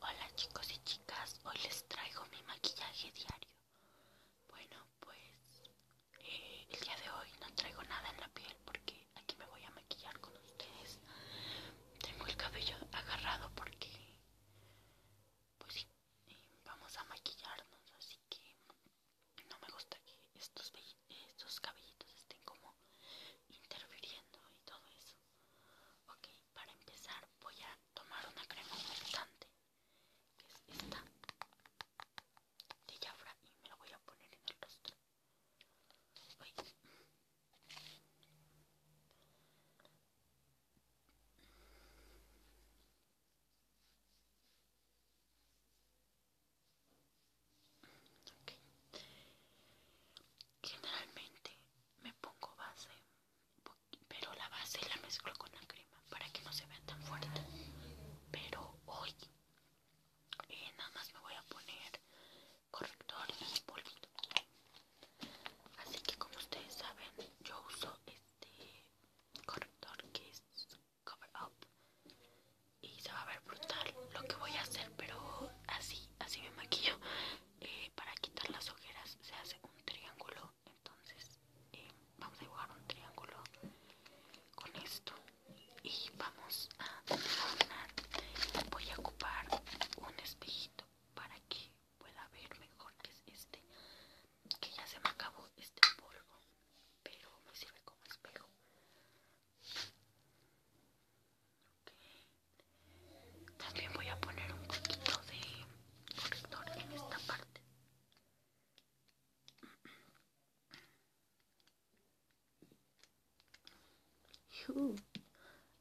Hola chicos y chicas, hoy les traigo mi maquillaje diario. Bueno, pues eh, el día de hoy no traigo nada en la piel porque aquí me voy a maquillar con ustedes. Tengo el cabello agarrado porque, pues eh, vamos a maquillarnos, así que no me gusta que estos, estos cabellitos estén como interfiriendo y todo eso. Ok, para empezar voy a tomar una crema humectante, que es esta de Jafra, y me la voy a poner en el rostro. Generalmente me pongo base, pero la base la mezclo con la crema para que no se vea tan fuerte. Pero hoy eh, nada más me voy a poner corrector y polvito. Así que como ustedes saben, yo uso este corrector que es Cover Up y se va a ver brutal lo que voy a hacer pero así así me maquillo eh, para quitar las ojeras se hace un triángulo entonces eh, vamos a dibujar un triángulo con esto y vamos a voy a ocupar un espejito para que pueda ver mejor que es este que ya se me acabó este polvo pero me sirve como espejo también voy a poner un poquito de corrector en esta parte.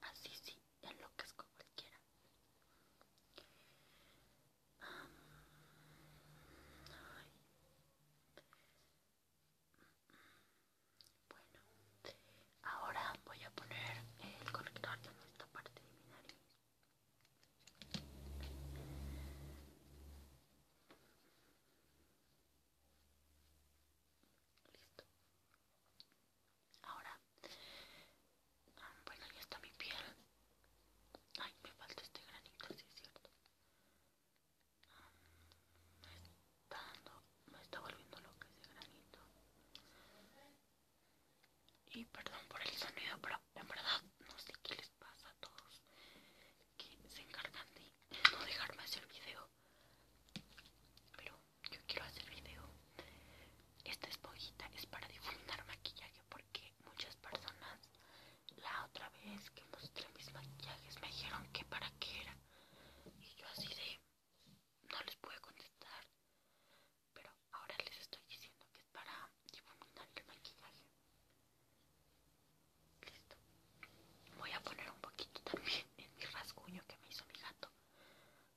así sí, enloquezco cualquiera. como ay. Bueno, ahora voy a poner el corrector en esta parte de mi nariz. Listo. Ahora, ah, bueno, ya está mi piel. Ay, me falta este granito, sí es cierto. Me está dando, me está volviendo loco ese granito. Y perdón por el sonido, pero en verdad no sé qué les pasa a todos que se encargan de no dejarme hacer video. Pero yo quiero hacer video. Esta esponjita es para difuminar maquillaje porque muchas personas la otra vez que mostré mis maquillajes me dijeron que para qué era y yo así de... No les pude contestar. Pero ahora les estoy diciendo que es para difuminar el maquillaje. Listo. Voy a poner un poquito también en mi rasguño que me hizo mi gato.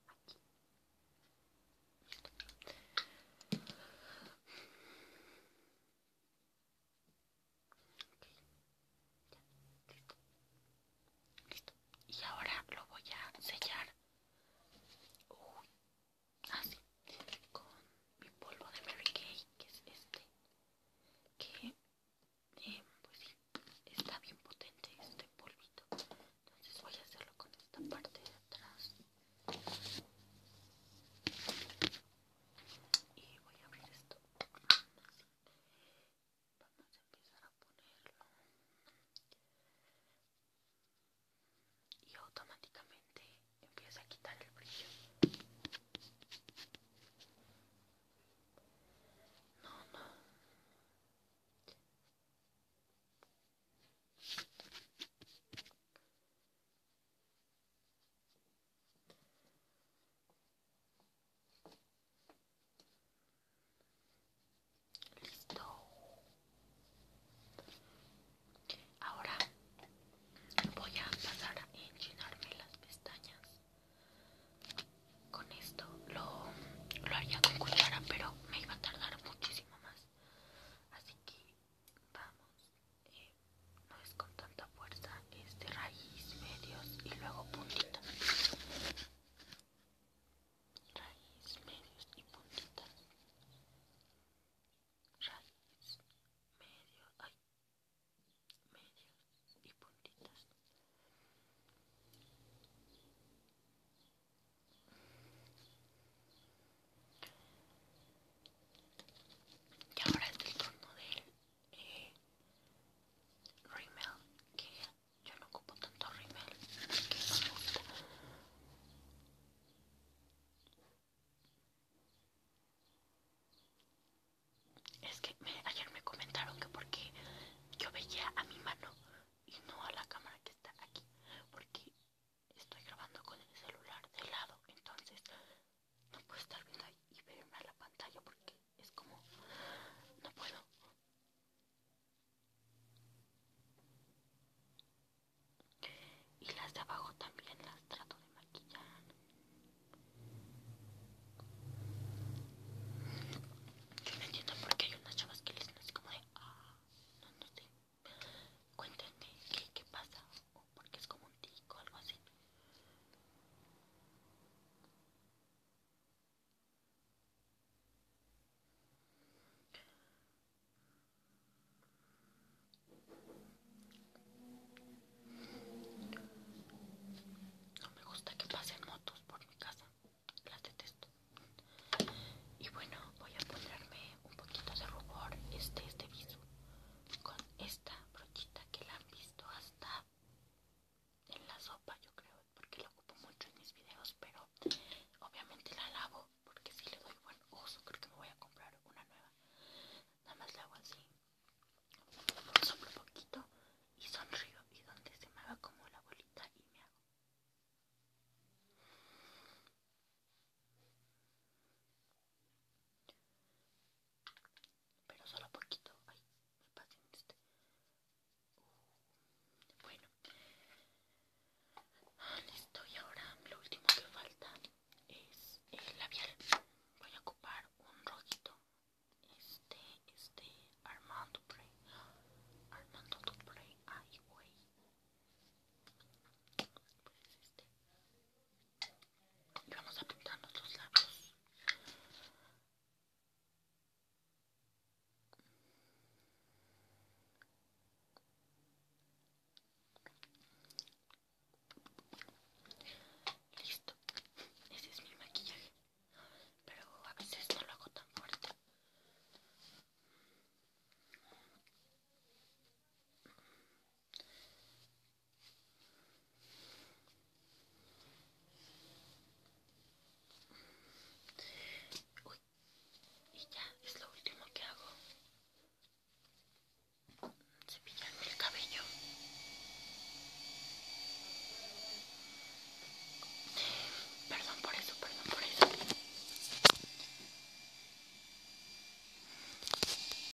Aquí. Listo. Y ahora lo voy a sellar así ah, con mi polvo de Mary Kay, que es este, que eh, pues sí, está bien potente este polvito. Entonces voy a hacerlo con esta parte de atrás. Y voy a abrir esto Vamos a empezar a ponerlo y automáticamente empieza a quitar el brillo. No, no. Listo. Ahora voy a pasar a enchinarme las pestañas. Con esto lo, haría con cuchara, pero me iba a tardar muchísimo más. Así que vamos. Eh, no es con tanta fuerza, es de raíz, medios y luego puntitas. Raíz, medios y puntitas. Raíz, medio, ay, medios y puntitas. Y ahora es el turno él eh, que yo no ocupo tanto remel, que es que ayer me comentaron que porque yo veía a mi mano y no a la cámara que está aquí porque estoy grabando con el celular de lado entonces no puedo estar viendo ahí y verme a la pantalla porque es como no puedo y las de abajo también las trato de maquillar yo no entiendo por qué hay unas chavas que les no así como de ah, no sé cuéntenme qué, qué pasa porque es como un tico, algo así. No me gusta que pasen motos por mi casa, las detesto. Y bueno, voy a ponerme un poquito de rubor, este este viso, con esta brochita que la han visto hasta en la sopa yo creo porque la ocupo mucho en mis videos pero obviamente la lavo porque si le doy buen uso creo que me voy a comprar una nueva nada más la hago así soplo poquito y sonrío y donde se me haga como la bolita y me hago pero solo poquito. Ay, me este. Uh, bueno, ah, listo. Y ahora lo último que falta es el labial. Voy a ocupar un rojito. Este, este, Armando Dupré. Armando Dupré, ay, güey. Pues este. Y vamos a pintar los labios. Listo. Ese es mi maquillaje. Pero a veces no lo hago tan fuerte y ya es lo último que hago. Cepillarme el cabello. Perdón por eso, perdón por eso.